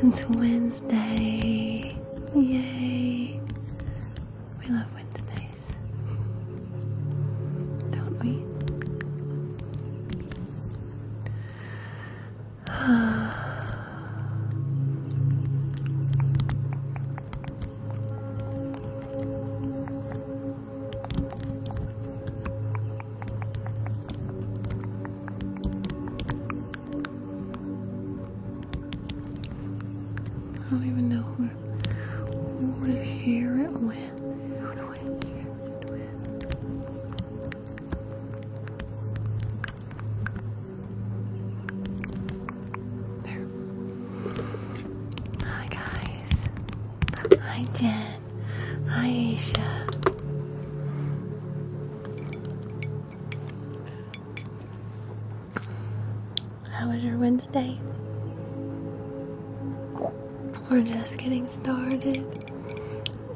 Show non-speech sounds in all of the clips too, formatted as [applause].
It's Wednesday. Yay. We love Wednesdays. Don't we? I don't even know who, who to hear it with. Hi guys. Hi Jen. Aisha. How was your Wednesday? We're just getting started.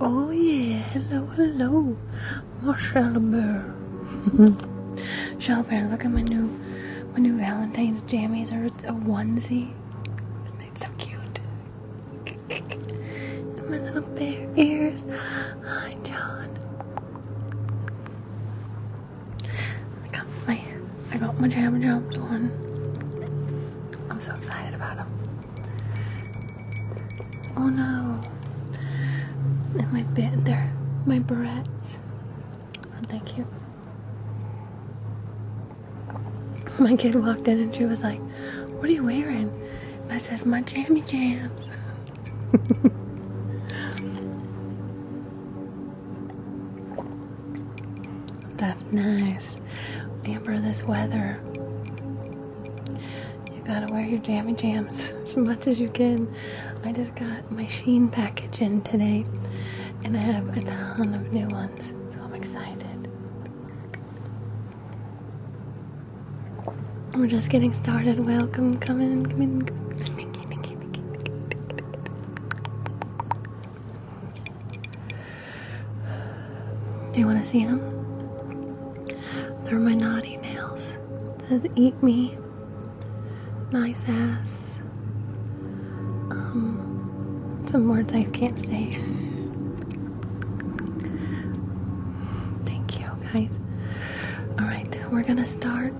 Oh, yeah. Hello, hello. Marshall Bear. Shell [laughs] look at my new my new Valentine's jammies. Or a onesie. It's so cute. my little bear ears. Hi, John. I got my I got my jam jams on. I'm so excited about him. Oh no! And my bit there, my barrettes. Aren't they My kid walked in and she was like, what are you wearing? I said, my jammy jams. [laughs] That's nice. Amber, this weather. You gotta wear your jammy jams [laughs] as much as you can. I just got my Sheen package in today and I have a ton of new ones, so I'm excited. We're just getting started. Welcome, come in, come in. Do you want to see them? They're my naughty nails. It says, eat me. Nice ass. Um, some words I can't say. [laughs] Thank you, guys. All right, we're gonna start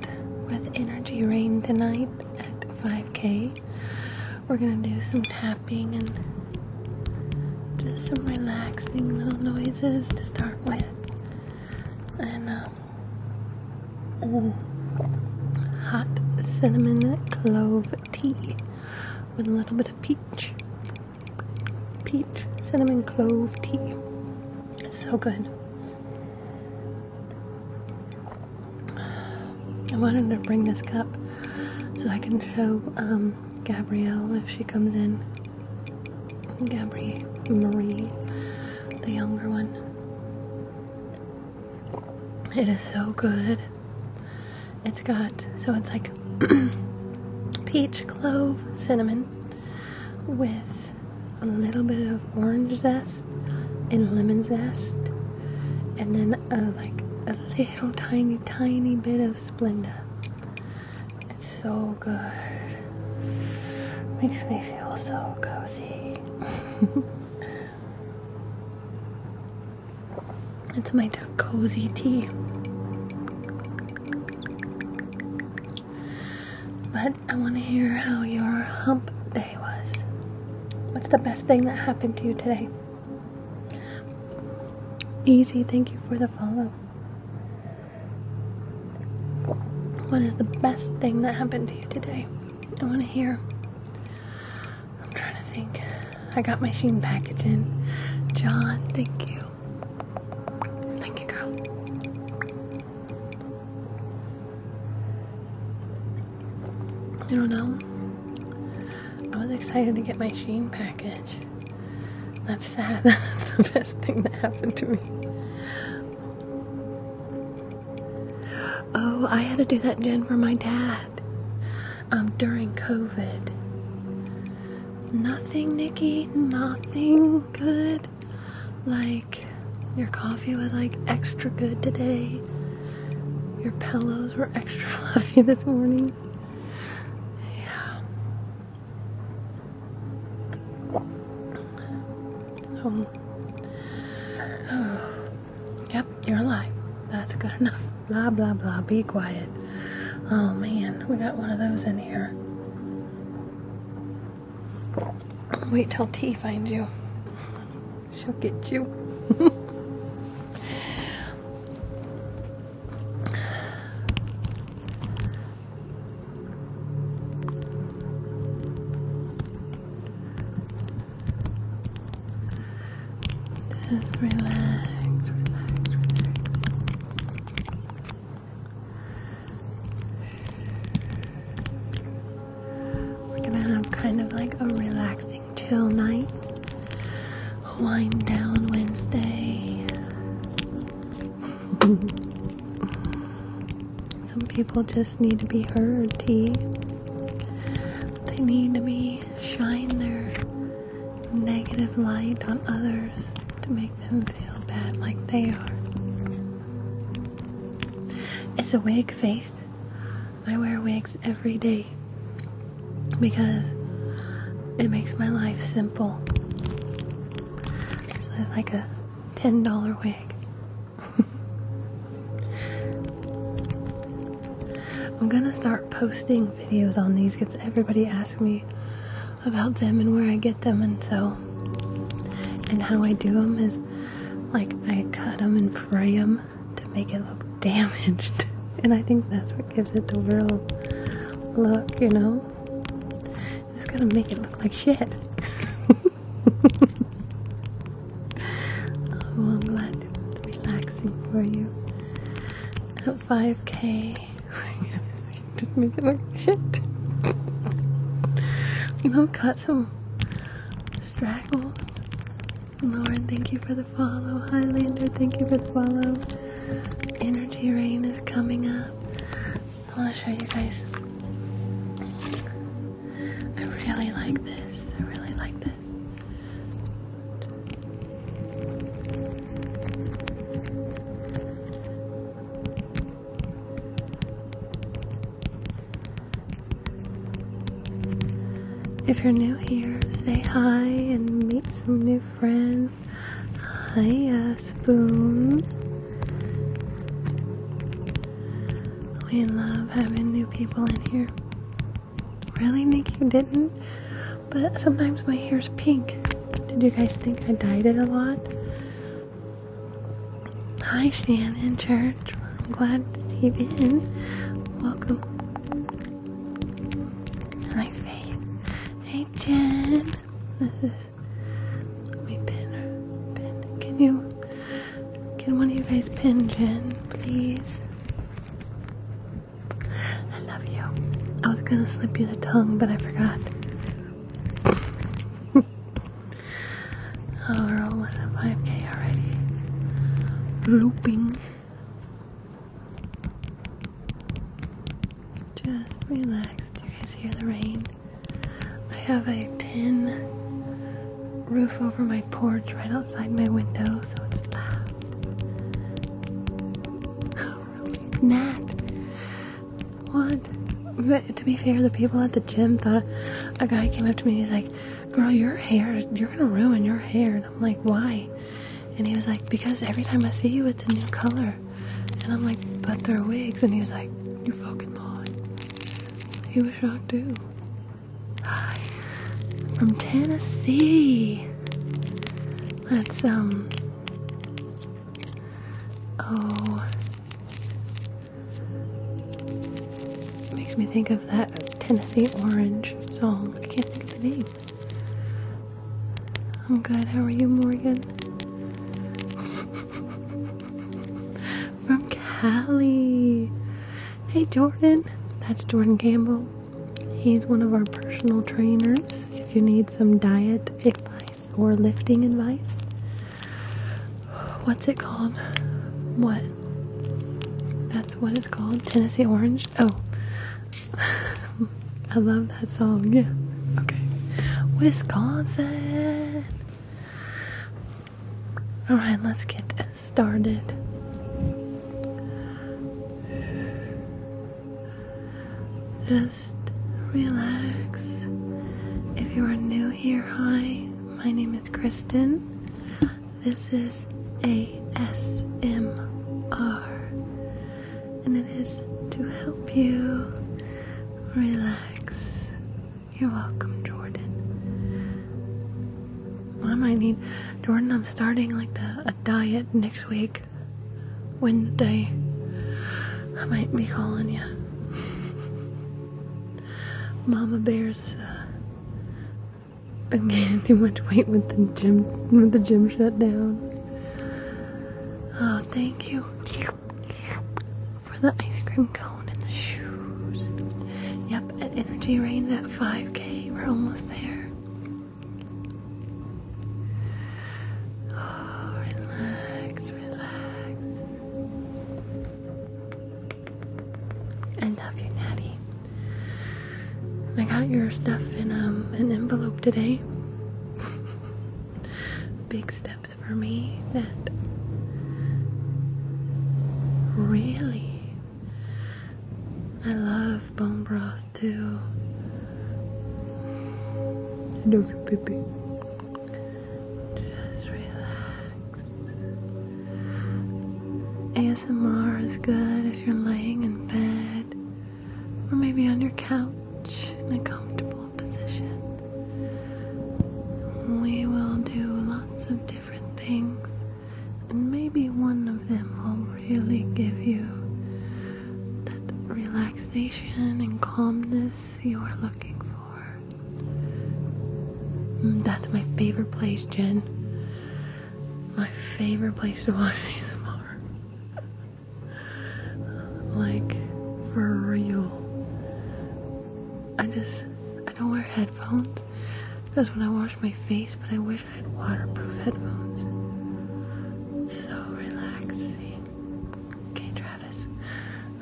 with energy rain tonight at 5k. We're gonna do some tapping and just some relaxing little noises to start with. And um, hot cinnamon clove tea with a little bit of peach peach cinnamon clove tea. So good. I wanted to bring this cup so I can show um, Gabrielle if she comes in. Gabrielle Marie, the younger one. It is so good. It's got so it's like [clears throat] peach, clove, cinnamon with a little bit of orange zest and lemon zest, and then a, like a little tiny, tiny bit of Splenda. It's so good. Makes me feel so cozy. [laughs] It's my cozy tea. But I want to hear how your hump day was. What's the best thing that happened to you today? Easy, thank you for the follow. What is the best thing that happened to you today? I want to hear. I'm trying to think. I got my sheen package in. John, thank you. Thank you, girl. I don't know. I was excited to get my sheen package. That's sad. [laughs] That's the best thing that happened to me. Oh, I had to do that, Jen, for my dad um, during COVID. Nothing, Nikki. Nothing good. Like, your coffee was like extra good today. Your pillows were [laughs] extra fluffy this morning. Yeah. Um, [sighs] yep, you're alive. That's good enough. Blah, blah, blah. Be quiet. Oh man, we got one of those in here. Wait till T finds you. She'll get you. Just relax, relax, relax. We're gonna have kind of like a relaxing, chill night. Wind down Wednesday. [laughs] Some people just need to be heard, T. They need to be shine their negative light on others to make them feel bad like they are. It's a wig faith. I wear wigs every day because it makes my life simple. it's like a $10 wig. [laughs] I'm gonna start posting videos on these gets everybody asks me about them and where I get them and so and how I do them is like I cut them and fray them to make it look [laughs] damaged and I think that's what gives it the real look you know it's gonna make it look like shit [laughs] oh I'm glad it's relaxing for you at 5k just make it look shit. You know, cut some straggles. Lauren, thank you for the follow. Highlander, thank you for the follow. Energy rain is coming up. I want to show you guys. I really like this. I really like this. If you're new here, say hi and meet some new friends. Hi, uh, Spoon. We love having new people in here. Really, Nick, you didn't? But sometimes my hair's pink. Did you guys think I dyed it a lot? Hi, Shannon Church. I'm glad to see you in. Welcome. Hi, Faith. Hey, Jen. This is. Let pin. Pin. Can you? Can one of you guys pin Jen, please? I love you. I was gonna slip you the tongue, but I forgot. oh, we're almost at 5k already. Looping. Just relax. Do you guys hear the rain? I have a tin roof over my porch right outside my window, so it's loud. [laughs] Nat. What? But to be fair, the people at the gym thought a guy came up to me and he's like, Girl, your hair, you're gonna ruin your hair. And I'm like, Why? And he was like, Because every time I see you, it's a new color. And I'm like, But they're wigs. And he's like, You fucking lie." He was shocked too. Hi. From Tennessee. That's, um, Oh. Makes me think of that Tennessee Orange song. I can't think of the name. I'm good. How are you, Morgan? [laughs] From Cali. Hey, Jordan. That's Jordan Campbell. He's one of our personal trainers. If you need some diet advice or lifting advice, what's it called? What? That's what it's called. Tennessee Orange. Oh, [laughs] I love that song. Yeah. Okay. Wisconsin. All right, let's get started. Just relax. If you are new here, hi, my name is Kristen. This is ASMR, and it is to help you relax. You're welcome, Jordan. I might need Jordan. I'm starting like a diet next week, like wind day, I might be calling you. Mama Bear's uh, been gaining too much weight with the gym with the gym shut down. Oh, thank you for the ice cream cone and the shoes. Yep, at Energy Rains at 5K, we're almost there. Oh, relax, relax. I love you, Natty. I got your stuff in um, an envelope today. [laughs] Big steps for me that really I love bone broth too. I know you, baby. Just relax. ASMR is good if you're laying in bed or maybe on your couch in a comfortable position. We will do lots of different things, and maybe one of them will really give you that relaxation and calmness you are looking for. Mm, that's my favorite place, Jen. My favorite place to wash watch ASMR. [laughs] like, for real. I just, I don't wear headphones. because when I wash my face, but I wish waterproof headphones. So relaxing. Okay, Travis.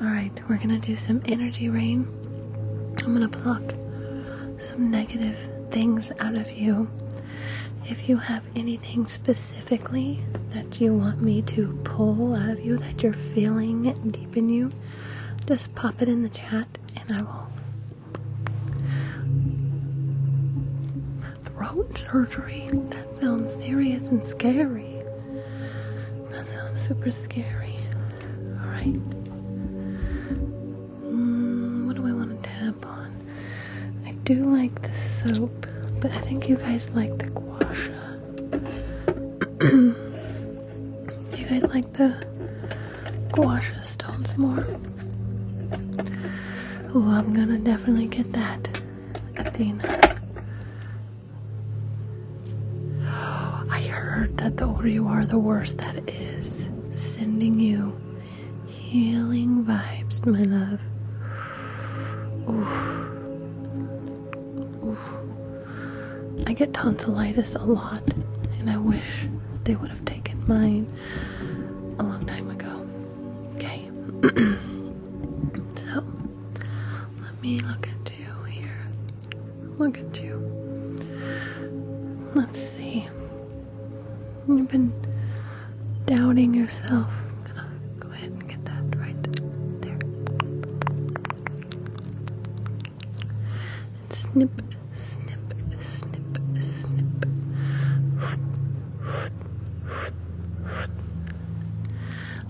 Alright, we're gonna do some energy rain. I'm gonna pluck some negative things out of you. If you have anything specifically that you want me to pull out of you that you're feeling deep in you, just pop it in the chat and I will throat surgery. That sounds serious and scary. That sounds super scary. Alright. Hmm, what do I want to tap on? I do like the soap, but I think you guys like the guasha. sha. [clears throat] you guys like the guasha stones more? Oh, I'm gonna definitely get that, Athena. [gasps] I heard that the older you are, the worse that is. Sending you healing vibes, my love. Oof. Oof. I get tonsillitis a lot, and I wish they would have taken mine a long time ago. Okay. [clears throat] so let me look at you here. Look at you. Let's see. You've been doubting yourself. gonna go ahead and get that right there. snip, snip, snip, snip.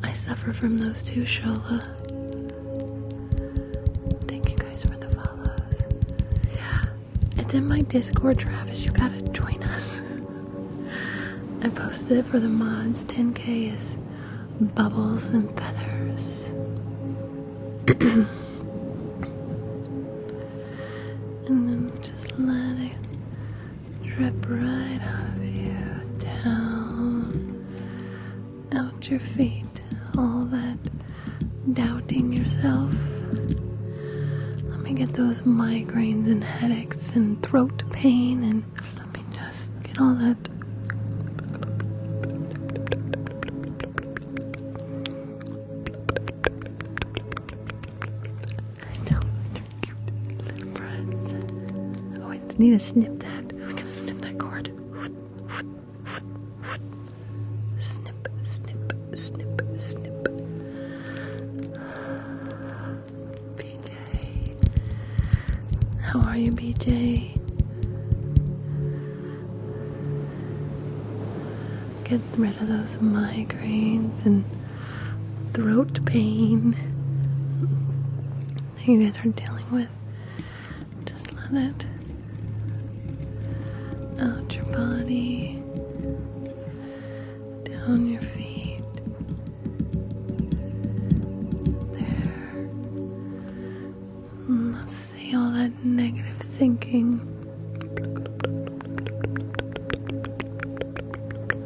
I suffer from those too, Shola. Thank you guys for the follows. Yeah. It's in my Discord, Travis. You gotta join us. [laughs] I posted it for the mods. 10k is bubbles and feathers. [clears throat] and then just let drip right out of you, down, out your feet. All that doubting yourself. Let me get those migraines and headaches and throat pain, and let me just get all that. Oh, I need to snip that. We're to snip that cord. Snip, snip, snip, snip. BJ. How are you, BJ? get rid of those migraines and throat pain that you guys are dealing with. Just let it out your body, down your feet. There. let's see all that negative thinking.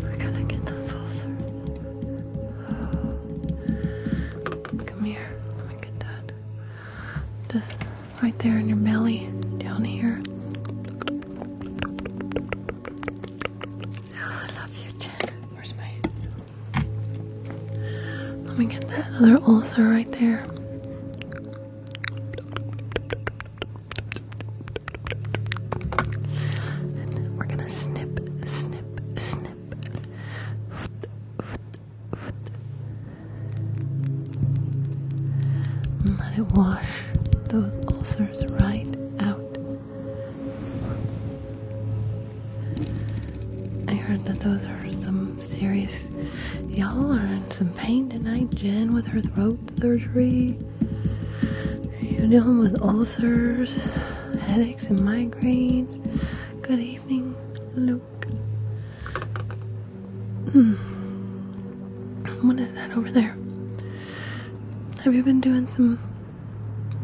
We're gonna get those ulcers. Come here. Let me get that. Just right there in your belly, down here. Ah, I love you, Jen. Where's my? Let me get that other ulcer right there. we're gonna snip, snip, snip let it wash those ulcers right out. I heard that those are some serious. Y'all are in some pain tonight, Jen, with her throat surgery. You're dealing with ulcers, headaches headaches and migraines. Good evening, Luke. Hmm. What is that over there? Have you been doing some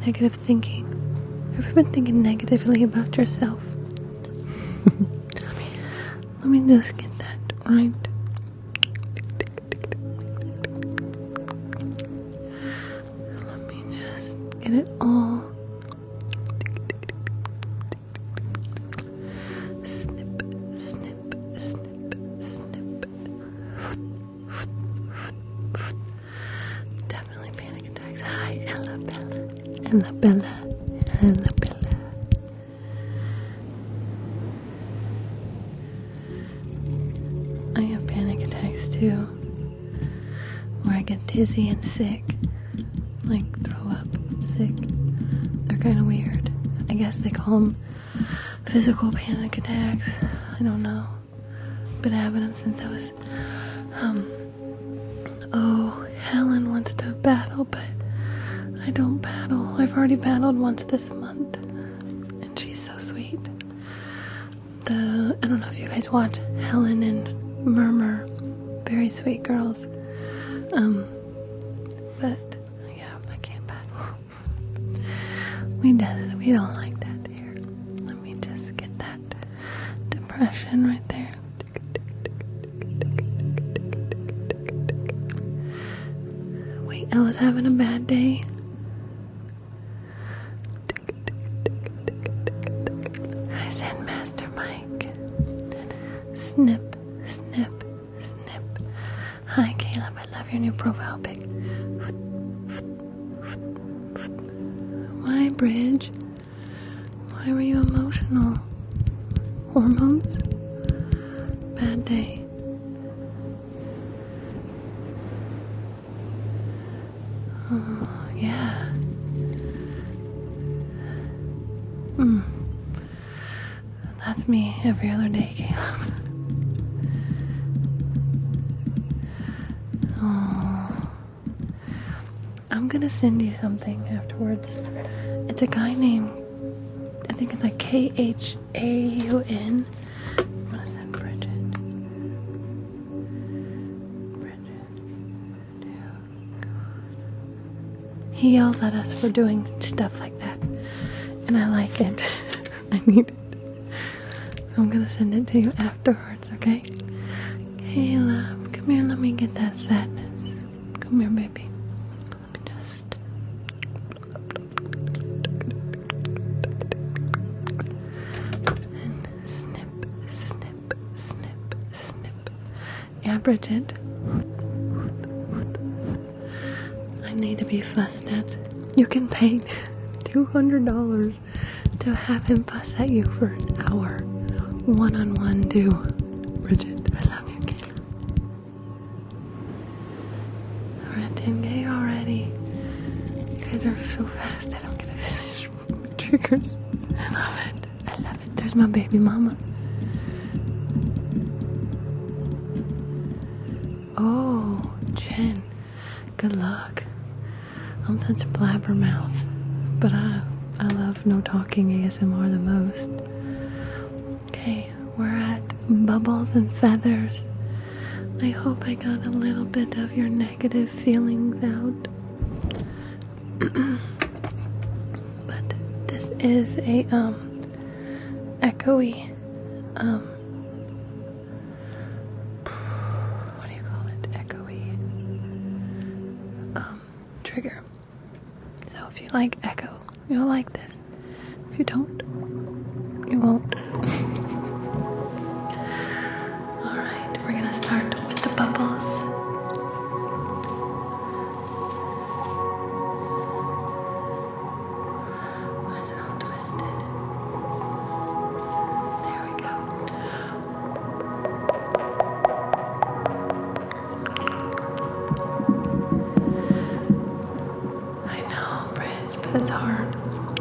negative thinking? Have you been thinking negatively about yourself? [laughs] let me just get that right. Let me just get it all. Snip, snip, snip, snip. Definitely panic attacks. Hi, Ella Bella. Ella I have panic attacks too or I get dizzy and sick, like throw up, sick. They're kind of weird. I guess they call them physical panic attacks. I don't know. Been having them since I was, um, oh, Helen wants to battle, but I don't battle. I've already battled once this month, and she's so sweet the I don't know if you guys watch Helen and Murmur, very sweet girls. Um, but yeah, I can't back. [laughs] we does we don't like that here. Let me just get that depression right there. Wait, Ella's having a bad day. I Master Mike. Snip, snip, snip. Hi, Caleb. I love your new profile pic. Why, Bridge? Why were you emotional? Hormones? Bad day. Oh, yeah. Mm. That's me every other day, Caleb. [laughs] Oh. I'm gonna send you something afterwards. It's a guy named, I think it's like K H A U N. I'm gonna send Bridget. Bridget. Dear God. He yells at us for doing stuff like that. And I like it. [laughs] I need it. I'm gonna send it to you afterwards, okay? Hey come here, let me get that sadness. Come here, baby. just and snip, snip, snip, snip. Yeah, Bridget. I need to be fussed at. You can pay $200 to have him fuss at you for an hour. One on one, do. Bridget, I love you, Kayla. We're at 10k already. You guys are so fast, I don't get to finish triggers. I love it. I love it. There's my baby mama. Oh, Jen. Good luck. I'm such a blabbermouth, but I I love no talking ASMR the most. Okay, we're at bubbles and feathers. I hope I got a little bit of your neck negative feelings out. [clears throat] but this is a um echoey um what do you call it? Echoey um trigger. So if you like echo, you'll like this. If you don't, you won't. Alright, we're gonna start with the bubbles. Why is it all twisted? There we go. I know, Bridge, but it's hard.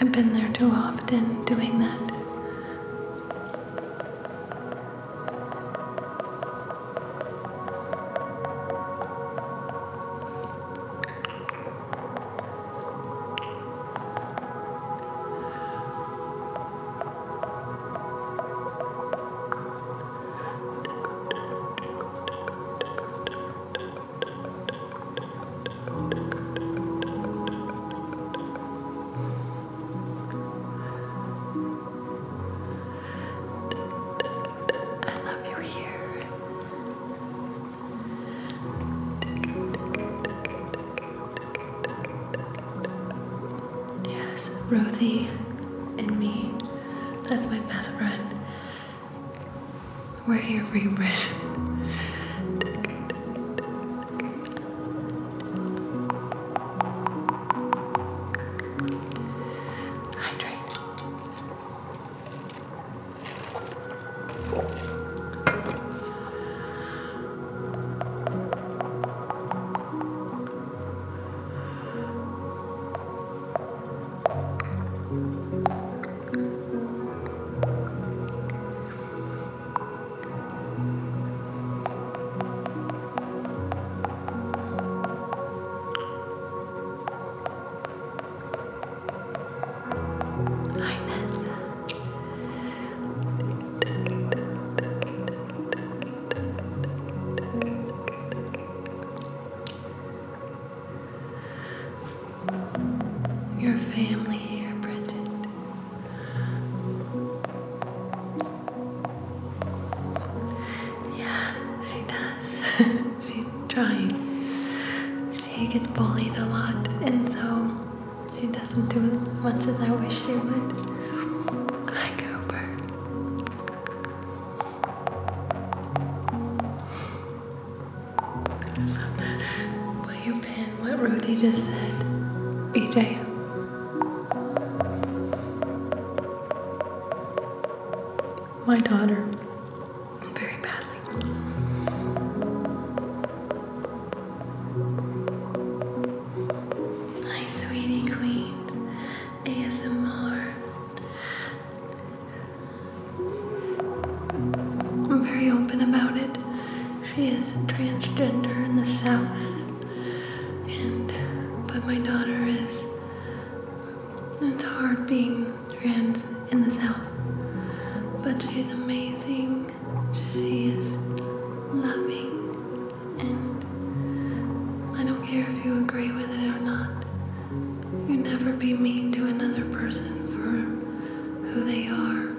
I've been there too often doing that. I love you here. Yes, Rosie and me. That's my best friend. We're here for you, Bridget. Hydrate. Hi, Nessa your family here, Bridget. Yeah, she does. [laughs] She's trying. She gets bullied a lot, and so she doesn't do as much as I wish she would. Hi, Cooper. Will you pin what Ruthie just said, EJ? My daughter, very badly. Hi, sweetie queens, ASMR. I'm very open about it. She is transgender in the South, and but my daughter is. It's hard being trans in the South, but she's amazing. She is loving, and I don't care if you agree with it or not. You never be mean to another person for who they are.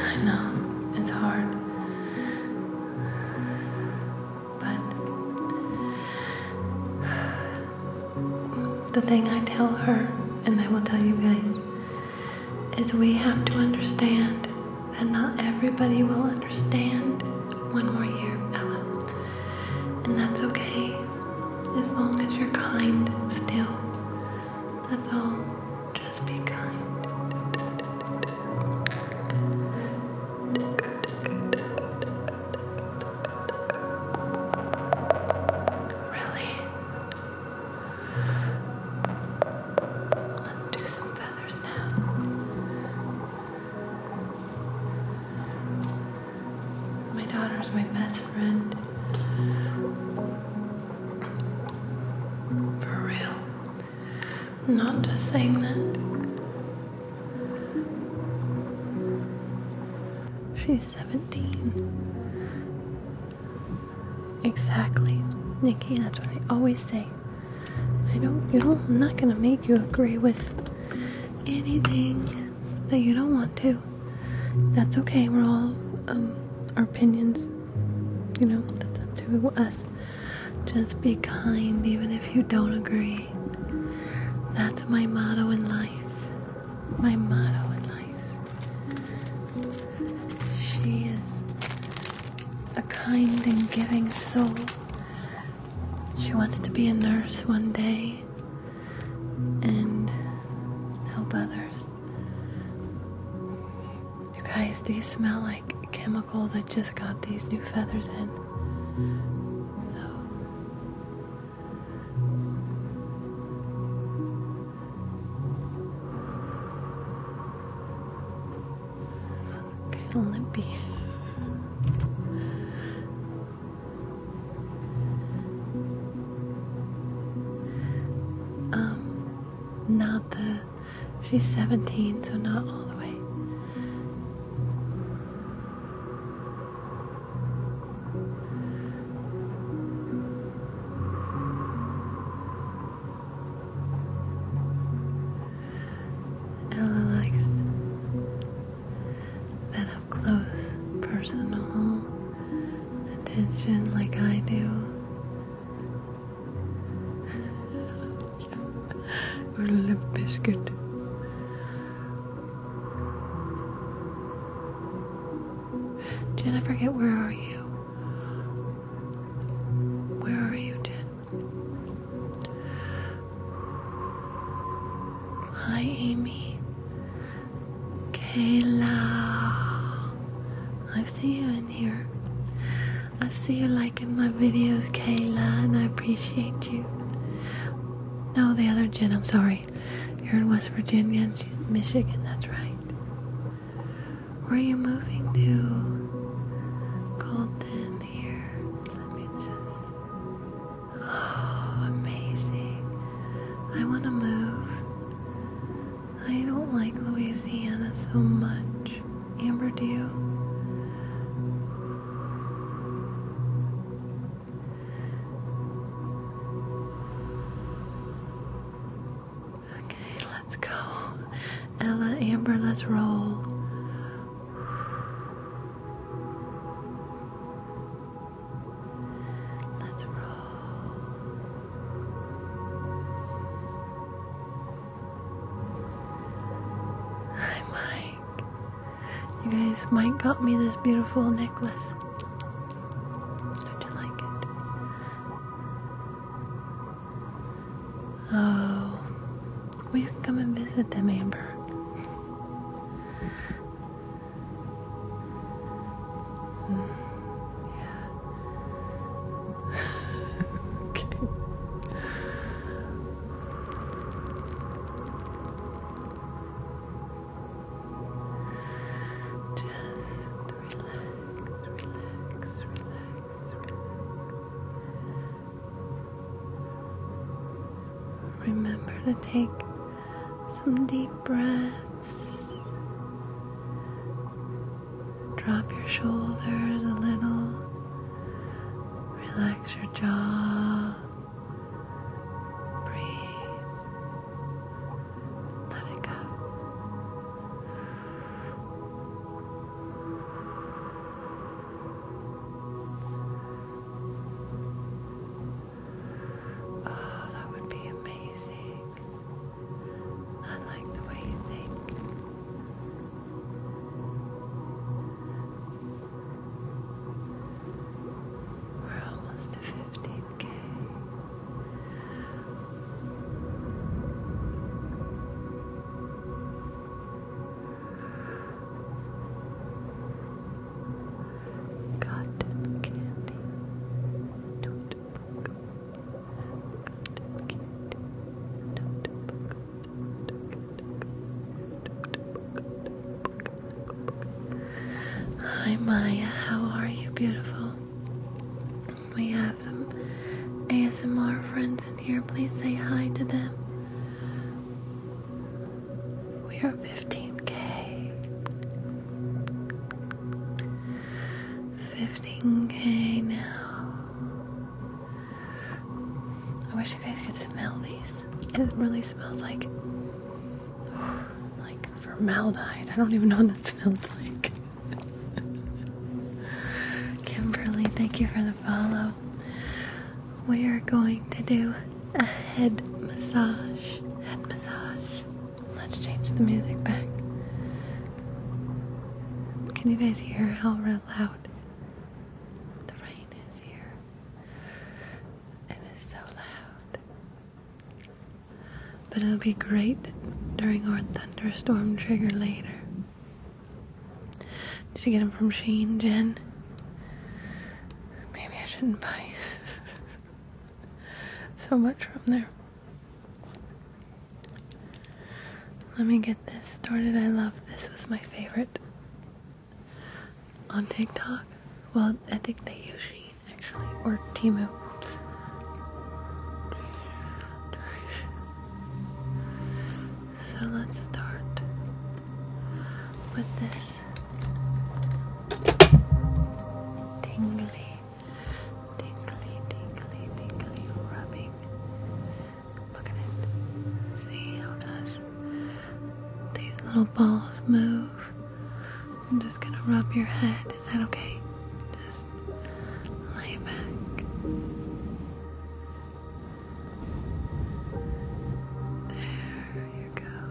I know it's hard, but the thing I tell her, and I will tell you guys is we have to understand that not everybody will understand one more year, Ella. And that's okay, as long as you're kind still. That's all. Just be kind. Really? feathers now. My my best friend. For real. not just saying that. She's 17. Exactly. Nikki, that's what I always say. I don't, you don't, I'm not gonna make you agree with anything that you don't want to. That's okay, we're all, um, our opinions, you know, that's up to us. Just be kind, even if you don't agree. That's my motto in life. My motto in life. She is a kind and giving soul. She wants to be a nurse one day and help others. You guys, these smell like chemicals. I just got these new feathers in. So. Kind of limpy. Um, not the. She's 17, so not all the way and relax that up close personal attention like I do. Or lip biscuit. Jen, I where are you? Where are you, Jen? Hi, Amy. Kayla. I've seen you in here. I see you liking my videos, Kayla, and I appreciate you. No, the other Jen, I'm sorry. You're in West Virginia she's Michigan, that's right. Where are you moving to? Golden here. Oh, amazing. I want to move. I don't like Louisiana so much. Amber, do you? Okay, let's go. Ella, Amber, let's roll. Let's roll. Hi, Mike. You guys, Mike got me this beautiful necklace. Don't you like it? Oh, we can come and visit them, Amber. Mm, [laughs] okay. Just relax, relax, relax. Remember to take some deep breaths. Drop your shoulders a little. Relax your jaw. Breathe. Let it go. Oh, that would be amazing. I like the way you think. We're almost to 15k. Cotton candy. Notebook. Cotton candy. Notebook. Hi Maya, how are you, beautiful? We have some ASMR friends in here. Please say hi to them. We are 15k. 15k now. I wish you guys could smell these. It really smells like [sighs] like formaldehyde. I don't even know what that smells like. Kimberly, thank you for the follow. We are going to do a head massage. Head massage. Let's change the music back. Can you guys hear how loud the rain is here? It is so loud. But it'll be great during our thunderstorm trigger later. Did you get them from Shane, Jen? Maybe I shouldn't buy [laughs] so much from there. Let me get this. started. I love this was my favorite on TikTok. Well, I think they use Sheen actually, or Timu. So let's start with this tingly, tingly, tingly, tingly rubbing. Look at it. See how does these little balls move? I'm just gonna rub your head. Is that okay? Just lay back. There you go.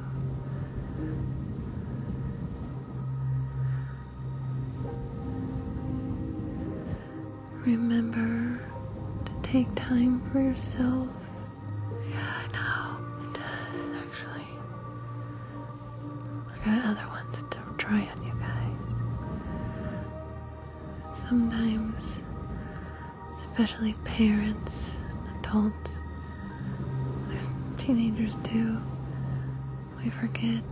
Remember to take time for yourself. Yeah, I know. It does, actually. I got other ones to try on you guys sometimes, especially parents, adults, teenagers do, we forget.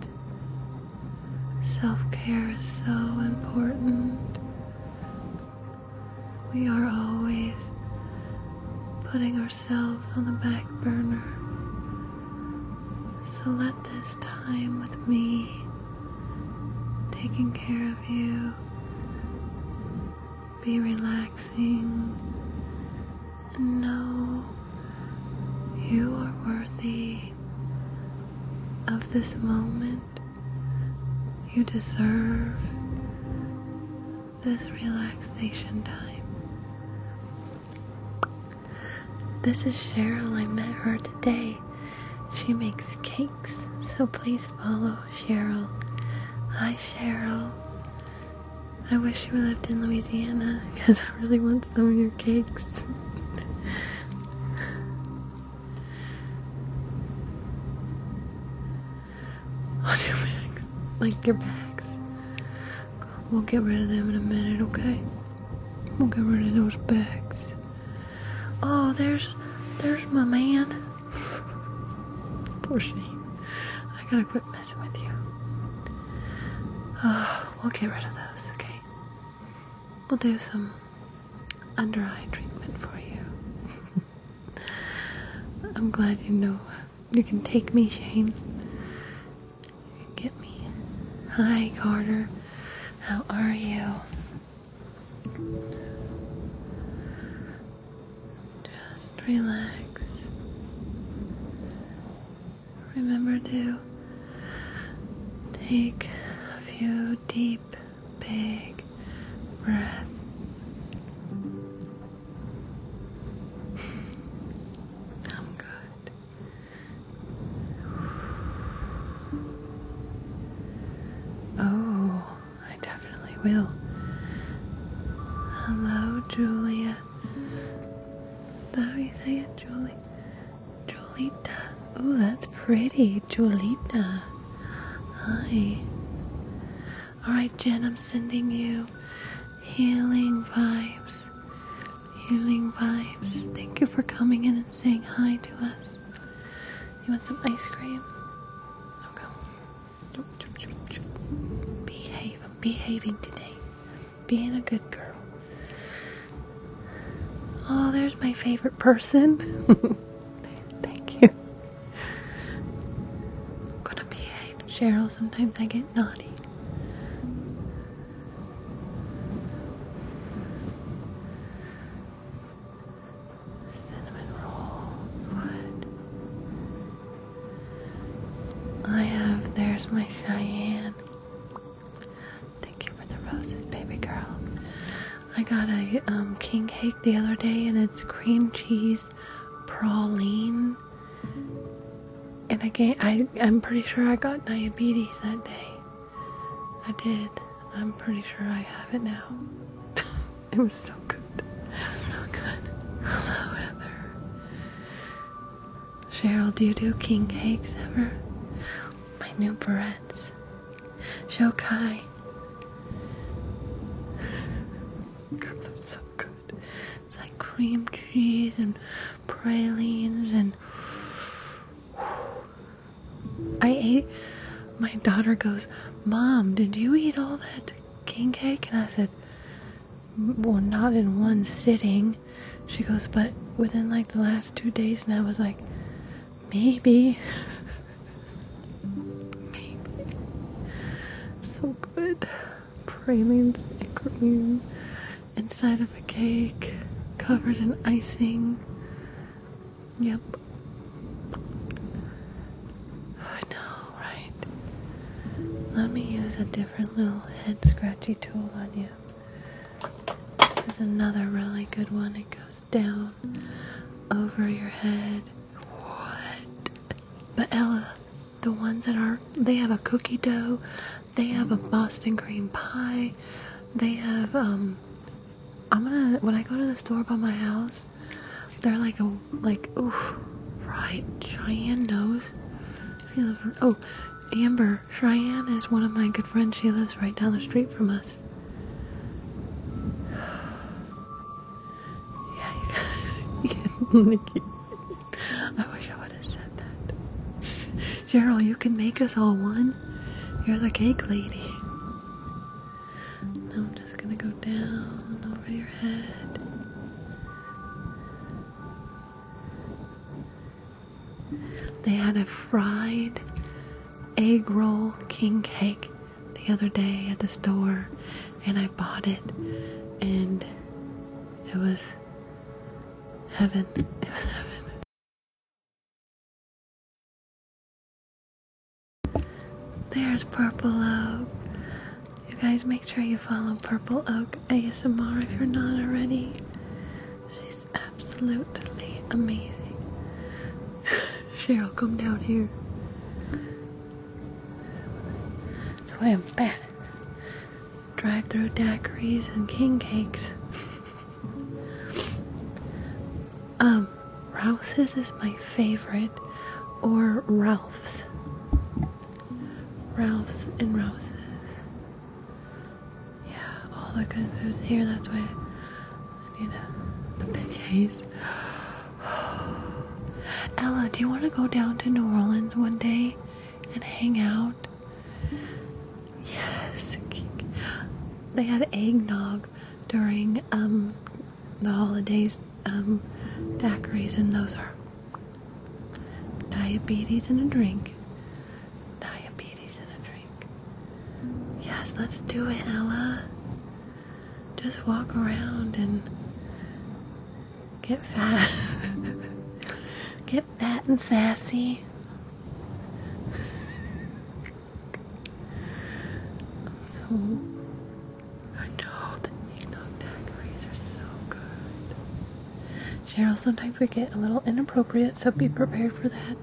Self care is so important. We are always putting ourselves on the back burner. So let this time with me taking care of you. Be relaxing and know you are worthy of this moment. You deserve this relaxation time. This is Cheryl. I met her today. She makes cakes, so please follow Cheryl. Hi, Cheryl. I wish you lived in Louisiana because I really want some of your cakes. [laughs] your bags, like your bags. We'll get rid of them in a minute, okay? We'll get rid of those bags. Oh, there's there's my man. Poor Shane. I gotta quit messing with you. Oh, we'll get rid of those, okay? We'll do some under eye treatment for you. [laughs] I'm glad you know you can take me, Shane. get me. Hi, Carter. How are you? Just relax. Remember to take a few deep, big breaths. I'm good. Oh, I definitely will. Hello, Julia. How you say it, Julie? Julita. Oh, that's pretty, Julita. Hi. Alright, Jen, I'm sending you healing vibes. Healing vibes. Thank you for coming in and saying hi to us. You want some ice cream? Okay. Behave. I'm behaving today. Being a good girl. Oh, there's my favorite person. [laughs] Thank you. gonna behave. Cheryl, sometimes I get naughty cinnamon roll wood. I have, there's my Cheyenne. Thank you for the roses, baby girl. I got a um, king cake the other day, and it's cream cheese praline. And I, I'm pretty sure I got diabetes that day. I did. I'm pretty sure I have it now. [laughs] it was so good. Was so good. Hello, Heather. Cheryl, do you do king cakes ever? My new barrettes. Shokai. [laughs] God, they're so good. It's like cream cheese and pralines and [sighs] I ate. My daughter goes, Mom, did you eat all that king cake? And I said, Well, not in one sitting. She goes, But within like the last two days. And I was like, Maybe. [laughs] Maybe. So good. Pralines and cream inside of a cake covered in icing. Yep. I know, right? Let me use a different little head scratchy tool on you. This is another really good one. It goes down over your head. What? But Ella, the ones that are, they have a cookie dough, they have a Boston cream pie, they have um, I'm gonna when I go to the store by my house, they're like a like oof, right Cheyenne knows. Oh, Amber Cheyenne is one of my good friends. She lives right down the street from us. [sighs] Yeah, you guys, [laughs] Nikki. I wish I would have said that. [laughs] Cheryl, you can make us all one. You're the cake lady. I'm just gonna go down over your head. They had a fried egg roll king cake the other day at the store, and I bought it, and it was heaven. [laughs] It was heaven. There's Purple Oak. You guys make sure you follow Purple Oak ASMR if you're not already. She's absolutely amazing. [laughs] Cheryl, come down here. That's why I'm fat. Drive through daiquiris and king cakes. [laughs] Um, Rouse's is my favorite, or Ralph's. Ralph's and Rouse's. Yeah, all the good foods here. That's why I need the beignets. [sighs] Ella, do you want to go down to New Orleans one day and hang out? Yes. They had eggnog during um, the holidays, um, daiquiris, and those are diabetes and a drink. Diabetes and a drink. Yes, let's do it, Ella. Just walk around and get fat. [laughs] get fat and sassy. So I know the eggnog daiquiris are so good. Cheryl, sometimes we get a little inappropriate, so be prepared for that.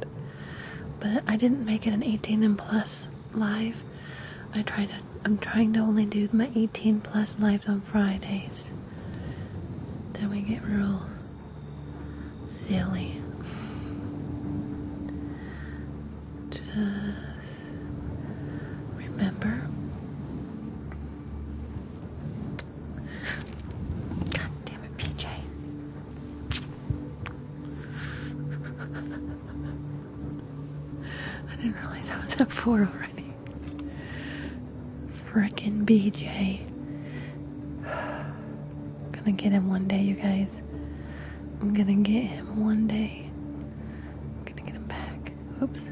But I didn't make it an 18 and plus live. I try to. I'm trying to only do my 18 plus lives on Fridays. Then we get real silly. Just remember. God damn it, PJ. I didn't realize I was up four already. Frickin' BJ. Gonna get him one day, you guys. I'm gonna get him one day. I'm gonna get him back. Oops.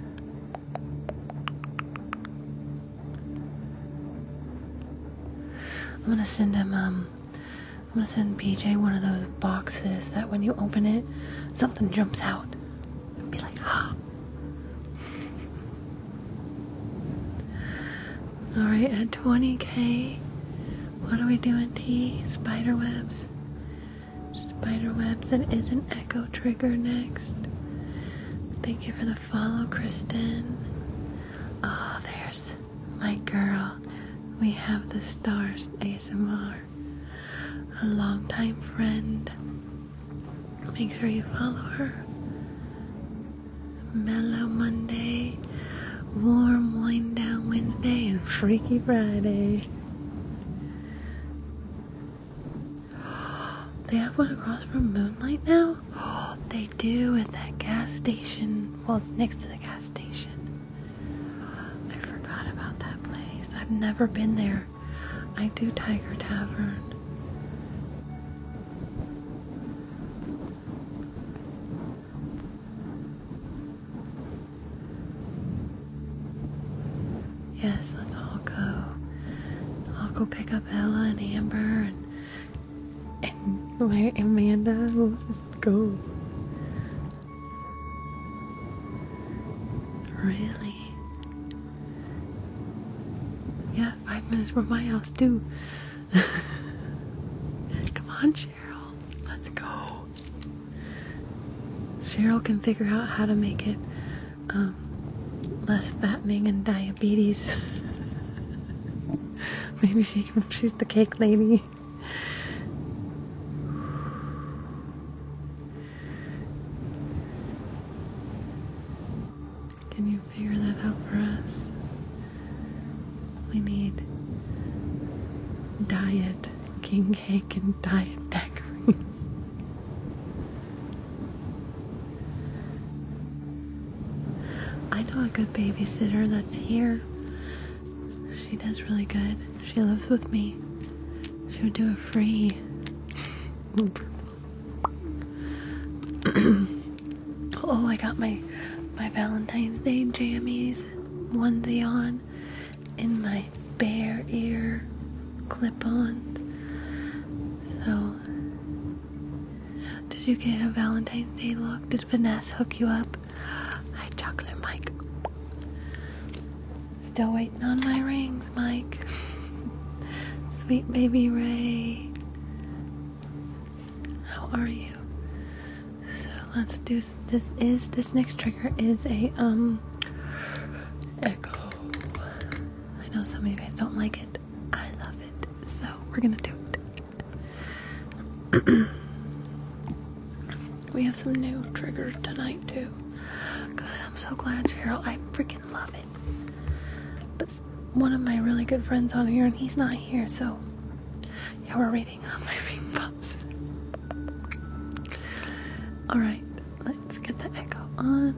I'm gonna send him um I'm gonna send PJ one of those boxes that when you open it something jumps out. Be like, ah. All right, at 20k, what are we doing, T? Spider webs. Spider webs, and is an echo trigger next. Thank you for the follow, Kristen. Oh, there's my girl. We have the stars, ASMR. A longtime friend. Make sure you follow her. Mellow Monday, warm wind down Wednesday, and Freaky Friday. [gasps] They have one across from Moonlight now? [gasps] they do at that gas station. Well, it's next to the gas station. I forgot about that place. I've never been there. I do Tiger Tavern. Yes, let's all go. I'll go pick up Ella and Amber and where Amanda. Let's just go. Really? Yeah, five minutes from my house too. [laughs] Come on, Cheryl. Let's go. Cheryl can figure out how to make it um, less fattening and diabetes. [laughs] Maybe she can, she's the cake lady. [sighs] Can you figure that out for us? We need diet king cake and diet decorations. I know a good babysitter that's here. She does really good. She lives with me. She would do a free. [clears throat] [clears throat] Oh, I got my my Valentine's Day jammies onesie on in my bare ear clip-ons. So, did you get a Valentine's Day look? Did Vanessa hook you up? Hi, Chocolate Mike. Still waiting on my rings, Mike. [laughs] Sweet baby Ray. How are you? So let's do this. Is this next trigger is a um echo? I know some of you guys don't like it. I love it. So we're gonna do it. [clears throat] we have some new triggers tonight too. Good. I'm so glad, Cheryl. I freaking love it. But one of my really good friends on here, and he's not here, so yeah, we're Alright, let's get the echo on.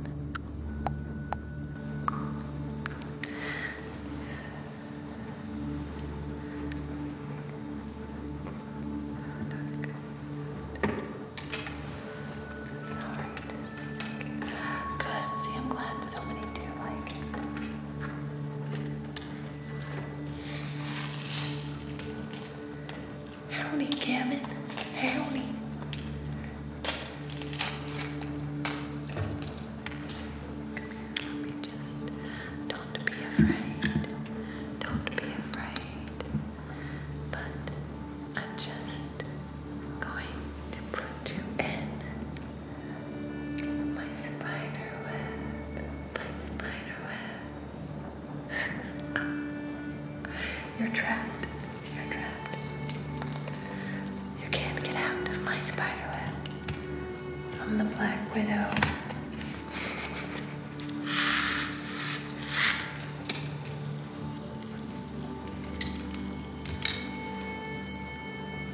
Sorry, Good, see, I'm glad so many do like it. Howdy, Gavin. Howdy. Come here, just. Don't be afraid. Don't be afraid. But I'm just going to put you in my spider My spider You're trapped. You're trapped. You can't get out of my spider I'm the Black Widow.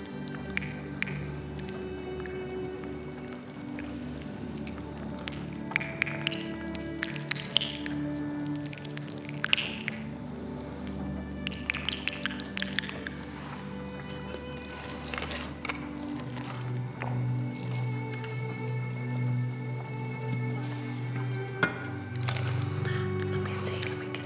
Let me see, let me get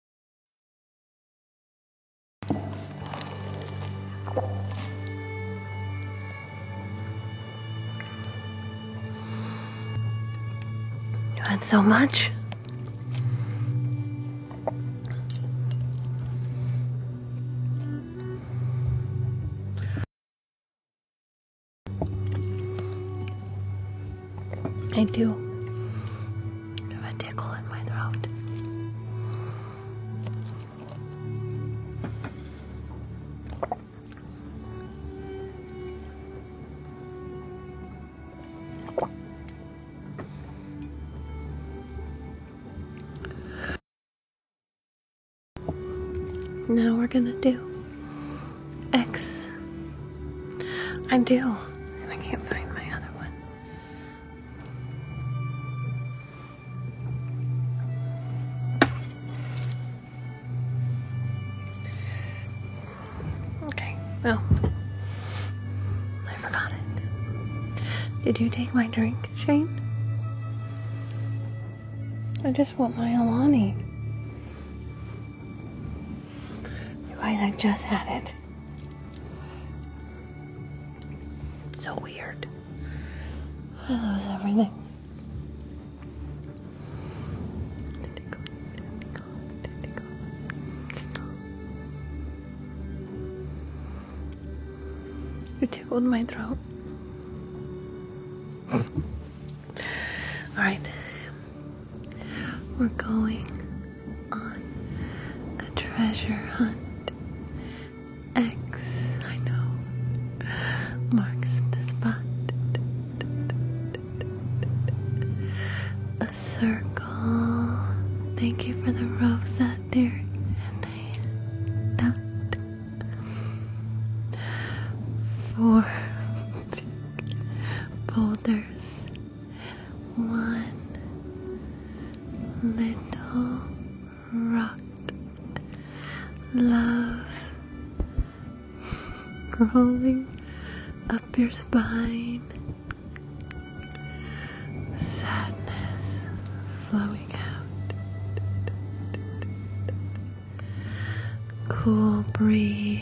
You had so much? I do have a tickle in my throat. Now we're gonna do X. I do, and I can't find my other one. Okay, well, I forgot it. Did you take my drink, Shane? I just want my Alani. You guys, I just had it. It's so weird. I lose everything. You tickled my throat. [laughs] Alright. We're going on a treasure hunt. X, I know, marks the spot. A circle. Thank you for the rose that there. And I dot. Four boulders [laughs] one little rock. Love crawling up your spine, sadness flowing out, cool breeze.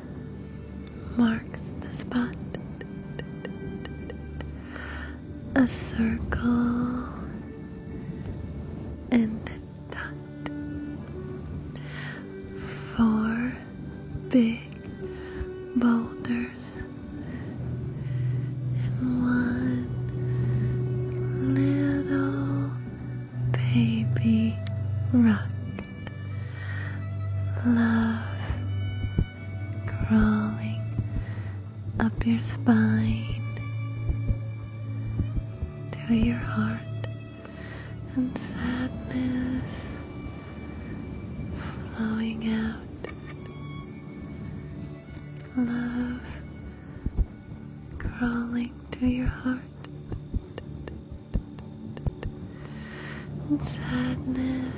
marks the spot. A circle and a dot. Four big boulders and one little baby rock love crawling up your spine to your heart and sadness flowing out. Love crawling to your heart and sadness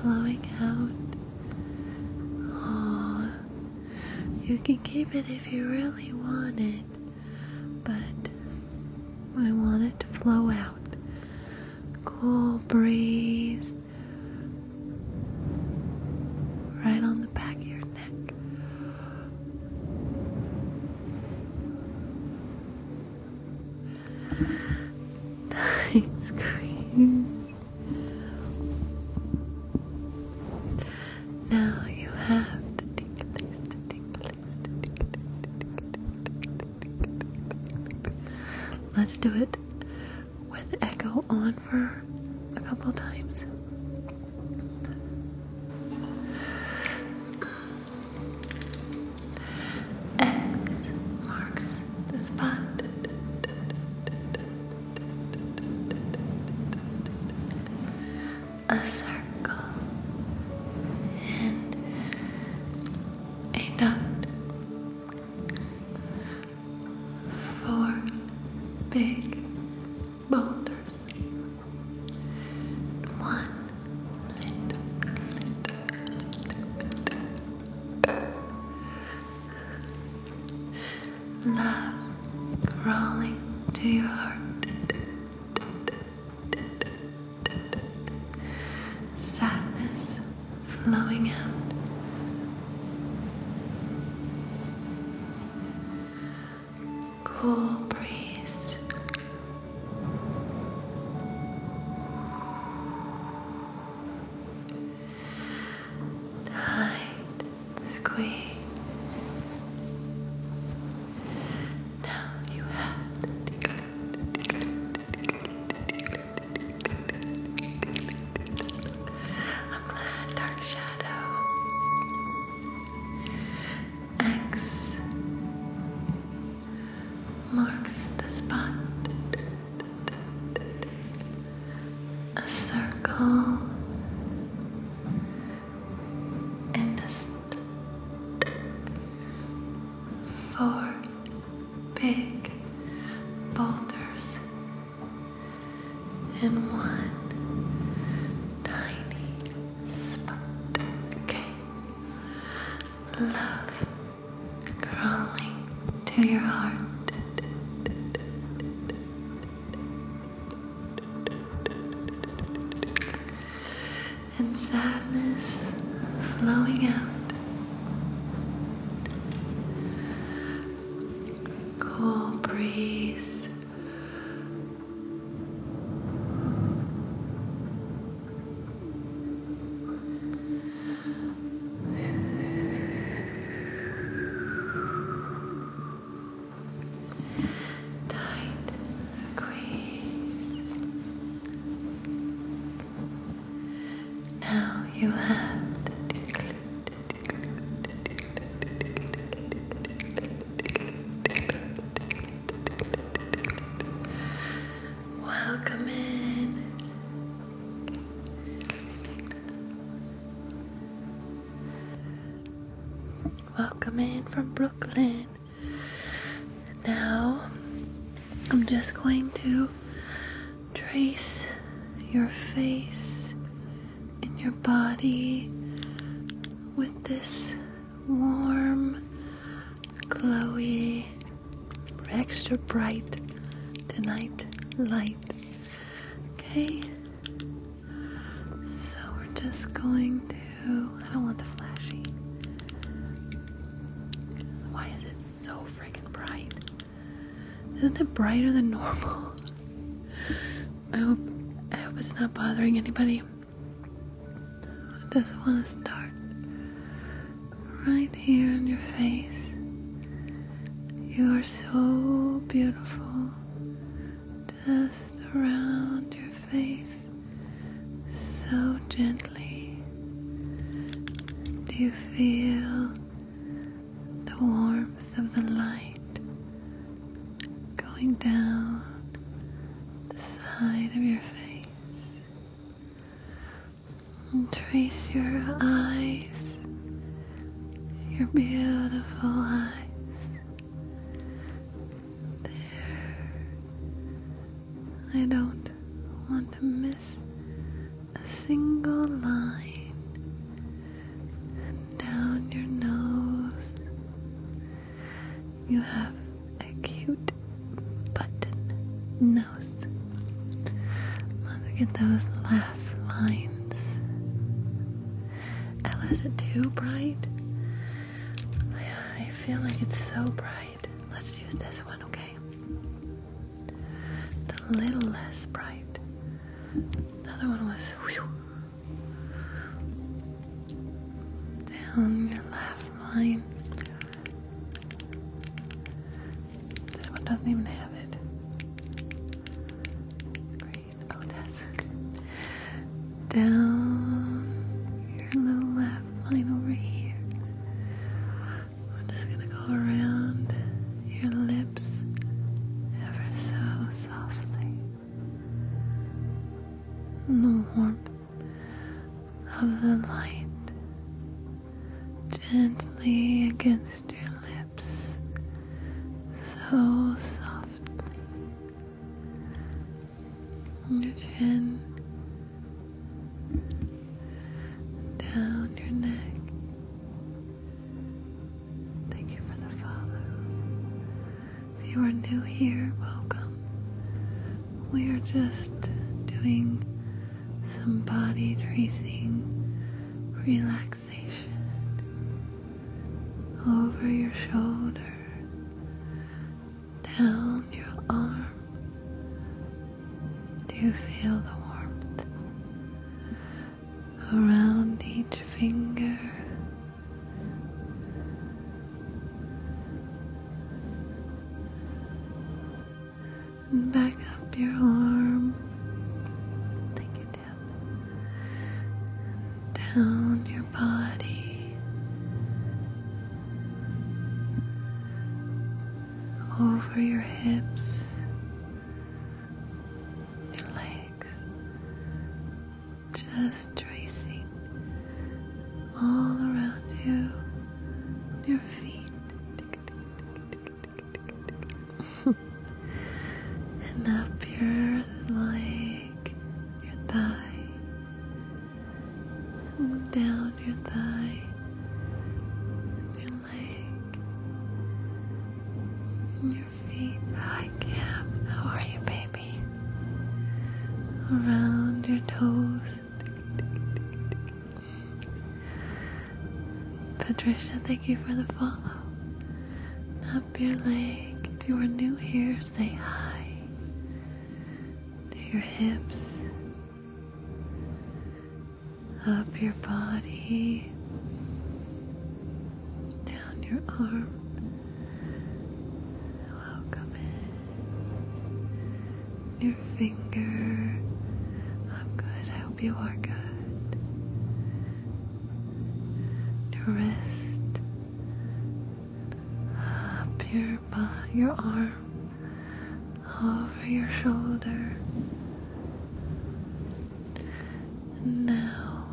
flowing out. Oh, you can keep it if you really want it, but I want it to flow out. Cool breeze right on the back of your neck. Tight squeeze. Now you have the tingles, Let's do it with echo on for a couple times. X marks the spot. A circle and a dot. Four big boulders. One Love crawling to your heart. Sadness flowing out. Cool breeze Tight squeeze. Now you have I'm glad Dark Shadow X marks the spot. A circle and a four big boulders and one tiny spot. Okay, love crawling to your heart. And sadness flowing out. Cool breeze Tight squeeze. Now you have the Welcome in. Welcome in from Brooklyn. Now, I'm just going to trace your face and your body with this warm, glowy extra bright tonight light. Okay? So we're just going to. I don't want the flashy. Why is it so freaking bright? Isn't it brighter than normal? [laughs] I hope I hope it's not bothering anybody. I just want to start right here on your face. You are so beautiful. Just around your face, so gently. Do you feel the warmth of the light going down the side of your face? trace your eyes, your beautiful eyes. There. I don't want to miss a single line. And down your nose, you have a cute button nose. Look at those laugh lines. Ella, is it too bright? I feel like it's so bright. Let's use this one, okay? It's a little less bright. The other one was down your left fine. This one doesn't even have it. Oh, [laughs] down your little left line over here. I'm just gonna go around your lips ever so softly. the warmth of the light gently against your lips, so softly. Your chin down your neck. Thank you for the follow. If you are new here, welcome we are just doing some body tracing relaxation over your shoulder, down your arm. Do you feel the warmth around each finger? and back up your arm. Take it down. Down your body. Over your hips. Your legs. Just tracing all around you your feet. [laughs] and up your leg, your thigh, and down your thigh, your leg, and your feet. Hi, Cam. How are you, baby? Around your toes. Patricia, thank you for the follow. Up your leg. If you are new here, say hi. To your hips. Up your body. Down your arm. Welcome in. Your finger. I'm good. I hope you are good. Your wrist. Up your body, your arm. Over your shoulder. And now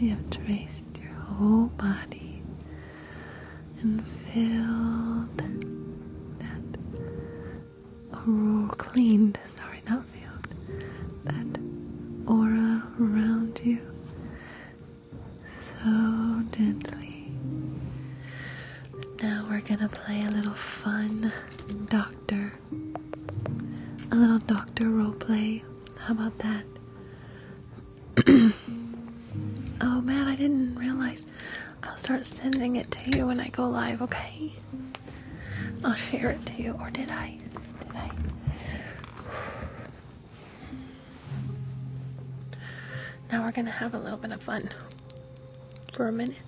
we have traced your whole body and filled that aura cleaned, sorry, not filled, that aura around you so gently. Now we're gonna play a little fun doctor, a little doctor role play. How about that? [clears throat] oh man, I didn't realize I'll start sending it to you when I go live, okay? I'll share it to you. Or did I? Did I? Now we're gonna have a little bit of fun for a minute.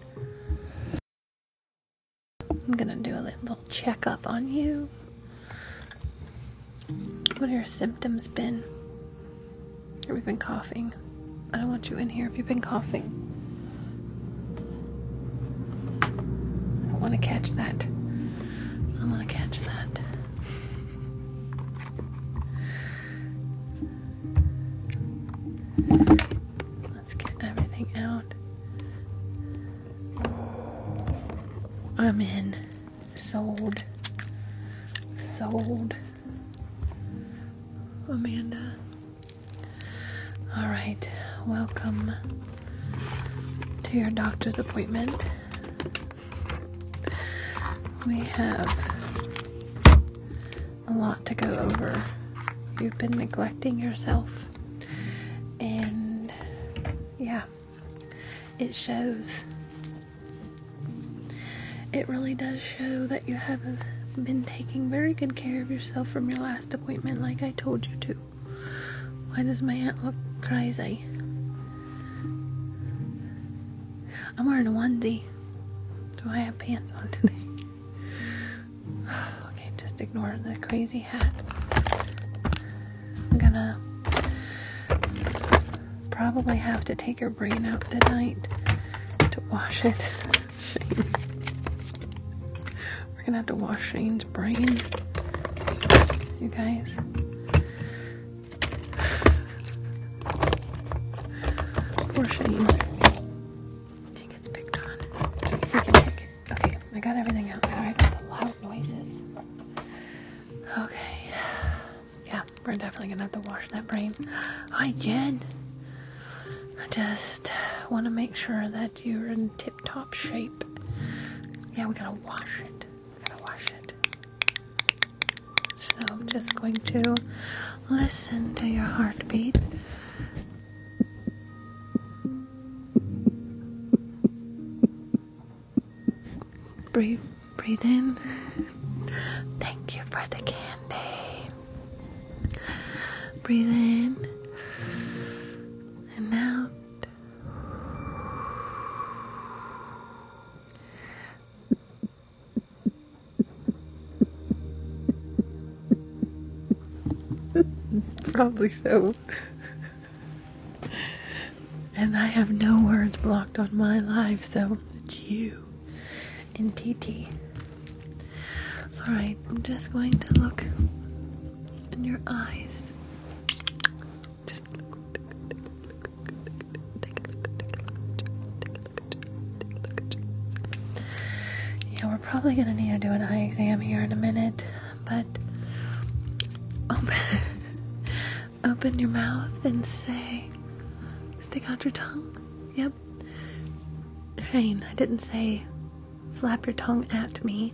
I'm gonna do a little checkup on you. What are your symptoms been? Have been coughing? I don't want you in here if you've been coughing. I want to catch that. I want to catch that. Let's get everything out. I'm in. Sold. Sold. Amanda. All right, welcome to your doctor's appointment. We have a lot to go over. You've been neglecting yourself, and yeah, it shows. It really does show that you have been taking very good care of yourself from your last appointment, like I told you to. Why does my hat look crazy? I'm wearing a onesie, Do I have pants on today. [sighs] okay, just ignore the crazy hat. I'm gonna probably have to take your brain out tonight to wash it. [laughs] We're gonna have to wash Shane's brain. You guys. [sighs] Poor Shane. Okay, I got everything out. Sorry about the loud noises. Okay yeah, we're definitely gonna have to wash that brain. Hi, Jen. I just want to make sure that you're in tip-top shape. Yeah, we gotta wash it. We gotta wash it. So I'm just going to listen to your heartbeat. Breathe, breathe in. Thank you for the candy. Breathe in and out. Probably so. and I have no words blocked on my life, so it's you and TT. Alright, I'm just going to look in your eyes. yeah, we're probably gonna need to do an eye exam here in a minute, but open, [laughs] open your mouth and say, stick out your tongue. Yep. Shane, I didn't say flap your tongue at me.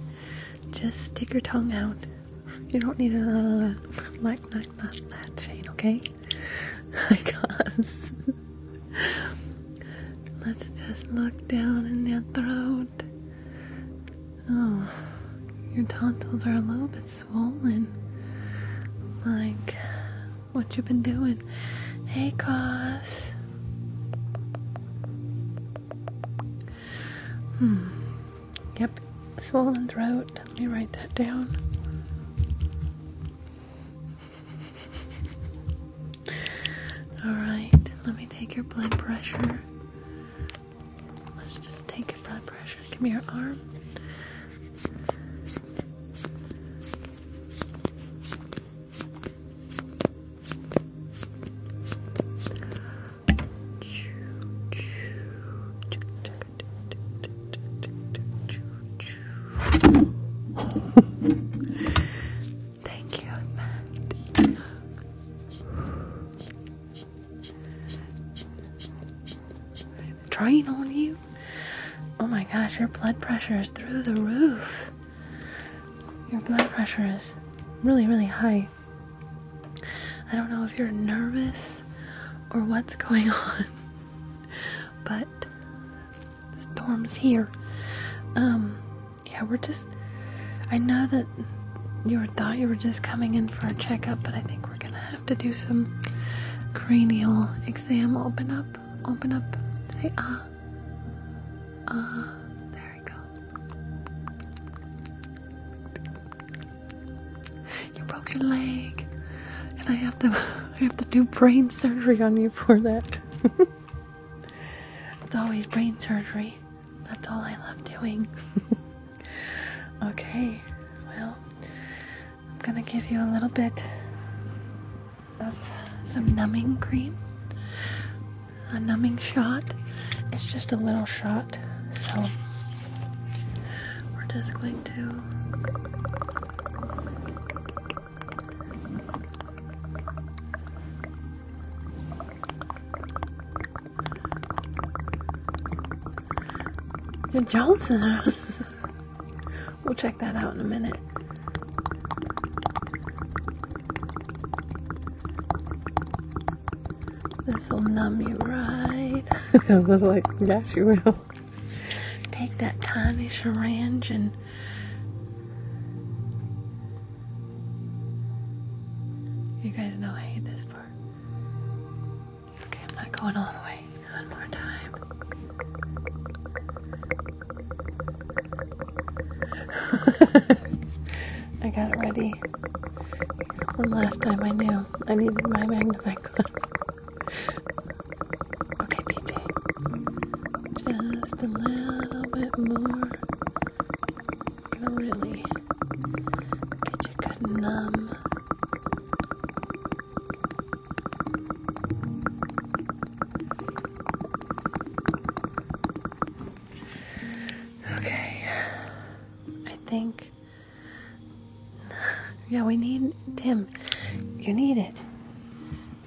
Just stick your tongue out. You don't need a uh, like like not that Shane, okay? [laughs] I guess. Let's just look down in your throat. Oh, your tonsils are a little bit swollen. Like what you been doing? Hey, cause. Hmm. Yep. Swollen throat. Let me write that down. All right. Let me take your blood pressure. Let's just take your blood pressure. Give me your arm. Thank you, Matt. i on you. Oh my gosh, your blood pressure is through the roof. Your blood pressure is really, really high. I don't know if you're nervous or what's going [laughs] on, but the storm's here. Um, yeah, we're just. I know that you thought you were just coming in for a checkup, but I think we're gonna have to do some cranial exam. Open up open up. Hey, ah. Uh. Ah, uh, there we go. You broke your leg, and I have to, [laughs] I have to do brain surgery on you for that. [laughs] it's always brain surgery. That's all I love doing. [laughs] okay, well, I'm gonna give you a little bit of some numbing cream, a numbing shot. It's just a little shot, so we're just going to. Johnson House. [laughs] We'll check that out in a minute. This will numb you right. [laughs] I was like, yes, you will. Take that tiny syringe and you guys know I hate this part. Okay, I'm not going all the way one more time. [laughs] I got it ready. One last time I knew I needed my magnifying glass. [laughs] Okay, PJ. Just a little bit more. really get you good numb. Okay. I think Yeah, we need Tim. You need it.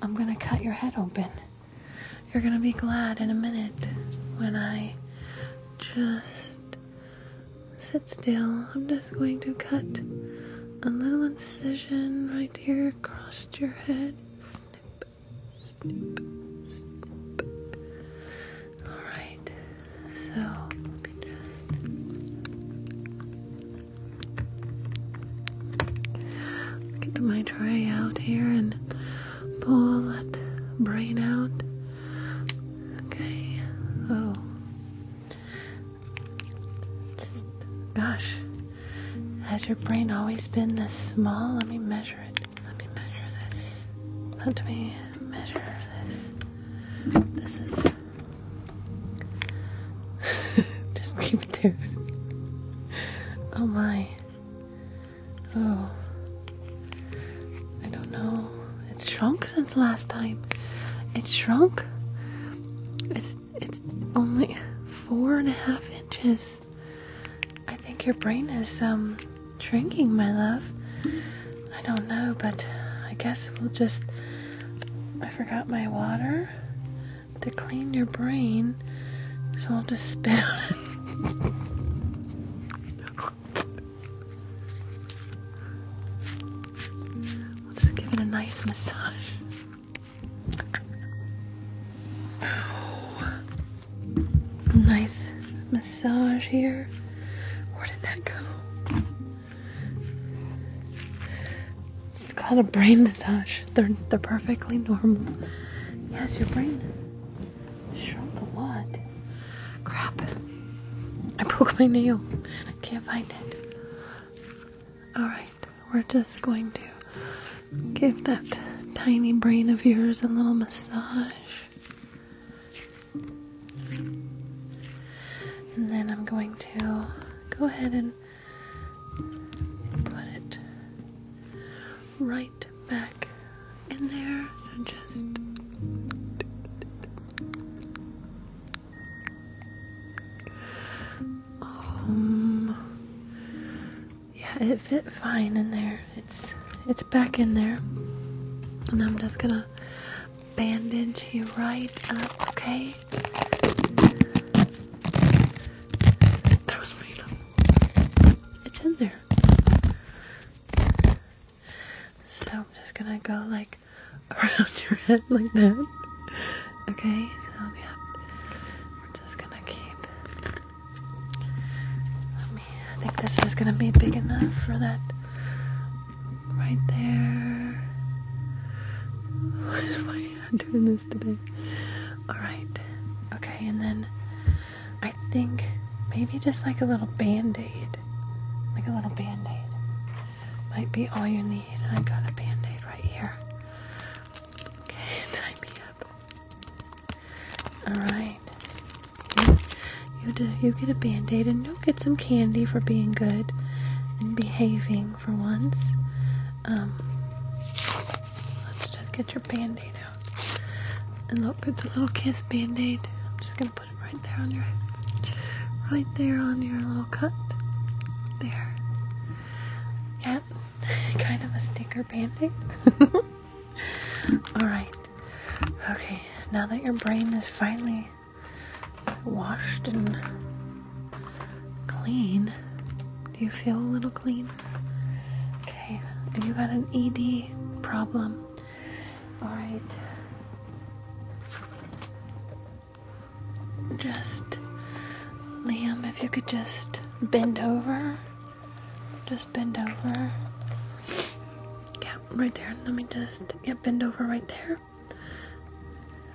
I'm going to cut your head open. You're going to be glad in a minute when I just sit still. I'm just going to cut a little incision right across your head. Alright, so get my tray out here and pull that brain out. Okay, oh, gosh, has your brain always been this small? Let me measure it. Let me measure this. Let me measure this. This is. [laughs] Just keep it there. Oh my. Oh. I don't know. It's shrunk since last time. It's shrunk. It's it's only four and a half inches. I think your brain is um shrinking, my love. I don't know, but I guess we'll just I forgot my water to clean your brain, so I'll just spit on it. [laughs] give it a nice massage nice massage here. Where did that go? It's called a brain massage. They're they're perfectly normal. Yes, your brain shrunk a lot. Crap. I broke my nail. I can't find it. Alright. We're just going to give that tiny brain of yours a little massage. And then I'm going to go ahead and put it right back in there. So just um, yeah, it fit fine in there. It's it's back in there, and I'm just gonna bandage you right up. Okay. It's in there. So I'm just gonna go like [laughs] around your head like that. [laughs] Okay, so yeah, we're just gonna keep. I think this is gonna be big enough for that. Right there. Why is my hand doing this today? All right. Okay, and then I think maybe just like a little band aid, like a little band aid, might be all you need. I got a band aid right here. Okay, tie [laughs] me up. Alright. You, get a band aid and you get some candy for being good and behaving for once. Um, let's just get your band aid out. And look, it's a little kiss band aid. I'm just gonna put it right there on your head. Right there on your little cut. There. Yeah, kind of a sticker bandit. [laughs] Alright. Okay, now that your brain is finally washed and clean, do you feel a little clean? Okay, and you got an ED problem. Alright. Just, Liam, if you could just bend over. Just bend over. Yeah, right there. Let me just, yeah, bend over right there.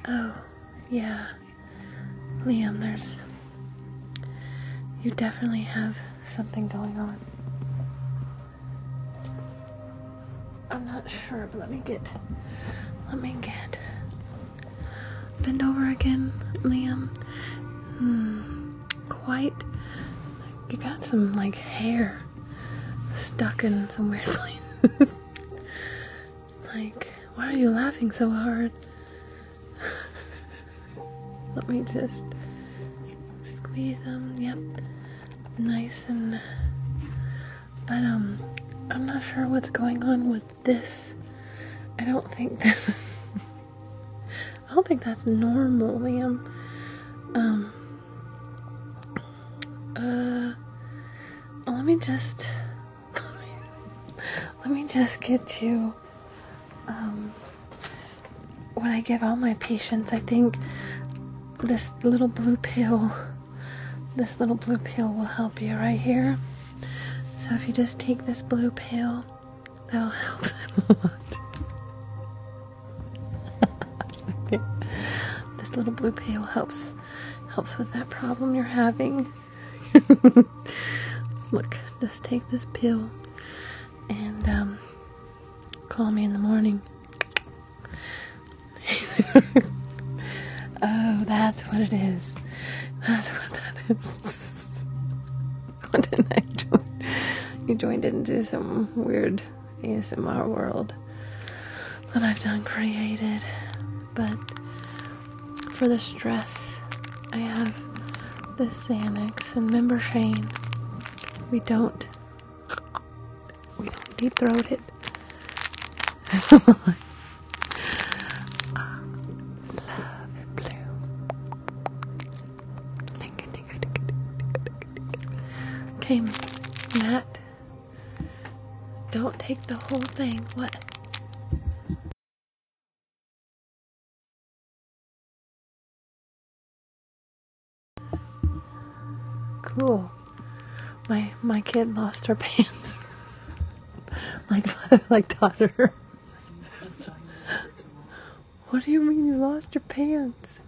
Oh, yeah. Liam, there's, you definitely have something going on. I'm not sure, but let me get, let me get Bend over again, Liam. Hmm, quite. You got some like hair stuck in some weird places. [laughs] like, why are you laughing so hard? [laughs] Let me just squeeze them. Yep, nice and. But um, I'm not sure what's going on with this I don't think [laughs] this I don't think that's normal, Liam. Um uh let me just [laughs] let me just get you um when I give all my patients I think this little blue pill this little blue pill will help you right here. So if you just take this blue pill, that'll [laughs] help a lot. [laughs] this little blue pill helps helps with that problem you're having. [laughs] Look, just take this pill and um, call me in the morning. Oh, that's what it is. That's what that is. [laughs] what did I join? You joined into some weird ASMR world that I've done created. But for the stress, I have the Xanax and member Shane. We don't we don't deep throat it love and bloom. Okay, Matt. Don't take the whole thing. What? Cool. My my kid lost her [laughs] pants. [laughs] like father, like daughter. [laughs] what do you mean you lost your pants?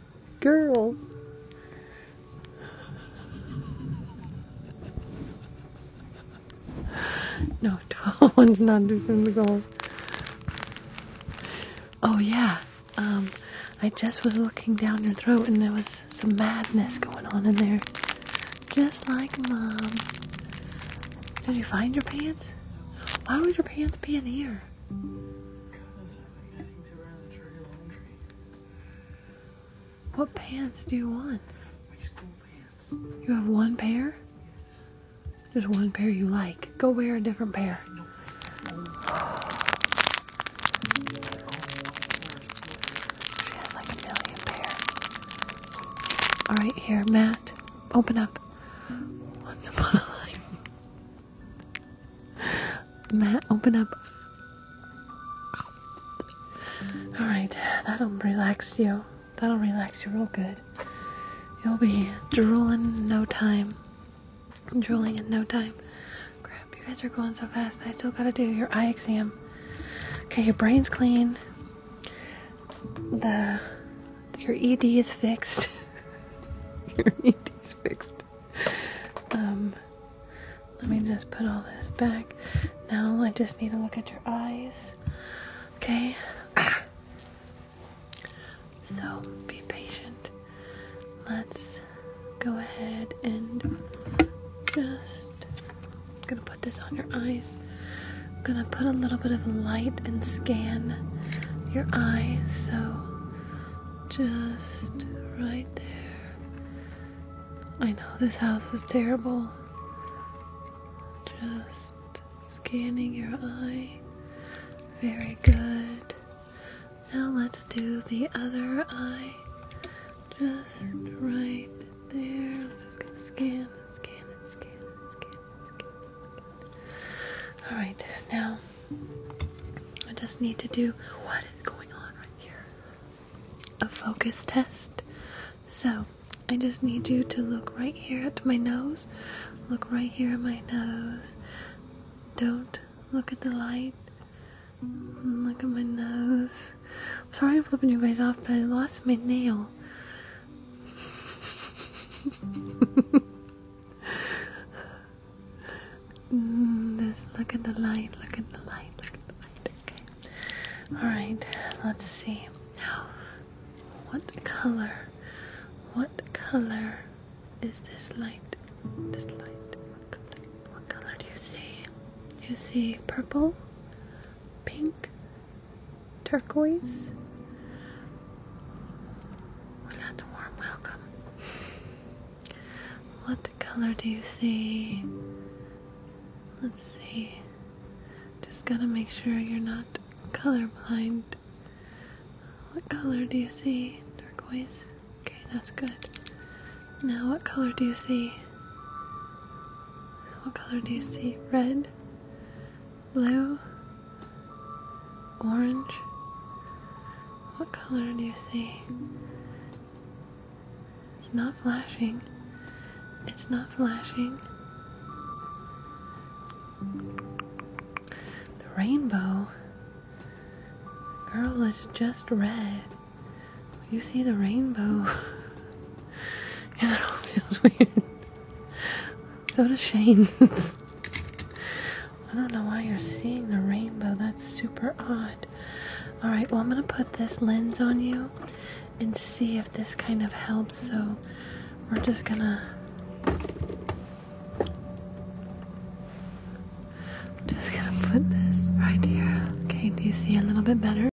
Girl. [laughs] No, 12 one's not doing the goal. Oh, yeah. Um, I just was looking down your throat and there was some madness going on in there. Just like mom. Did you find your pants? Why would your pants be in here? What pants do you want? You have one pair? Just one pair you like. Go wear a different pair. All right, here, Matt, open up. Once upon a life. Matt, open up. All right, that'll relax you. That'll relax you real good. You'll be drooling in no time. Drooling in no time. Crap, you guys are going so fast. I still gotta do your eye exam. Okay, your brain's clean. The your ED is fixed. [laughs] your ED is fixed. Um, let me just put all this back. Now I just need to look at your eyes. Okay. Ah. So be patient. Let's go ahead and just I'm gonna put this on your eyes. I'm gonna put a little bit of light and scan your eyes. So just right there. I know this house is terrible. Just scanning your eye. Very good. Now let's do the other eye. Just right there. I'm just gonna scan scan scan scan. scan. Alright, now I just need to do what is going on right here. A focus test. So I just need you to look right here at my nose. Look right here at my nose. Don't look at the light. Look at my nose sorry i flipping you guys off, but I lost my nail. mm, this, look at the light, look at the light, look at the light. Okay. Alright, let's see. Now, what color? What color is this light? This light. What color, do you see? you see purple? pink, turquoise. We're not warm welcome. What color do you see? Let's see. Just gotta make sure you're not colorblind. What color do you see? Turquoise. Okay, that's good. Now, what color do you see? What color do you see? Red, blue, orange. What color do you see? It's not flashing. It's not flashing. The rainbow. Girl is just red you see the rainbow. Yeah, [laughs] it all feels weird. So does Shane's. [laughs] I don't know why you're seeing the rainbow. That's super odd. Alright, well, I'm going to put this lens on you and see if this kind of helps. So we're just going to. Just gonna put this right here. Okay, do you see a little bit better?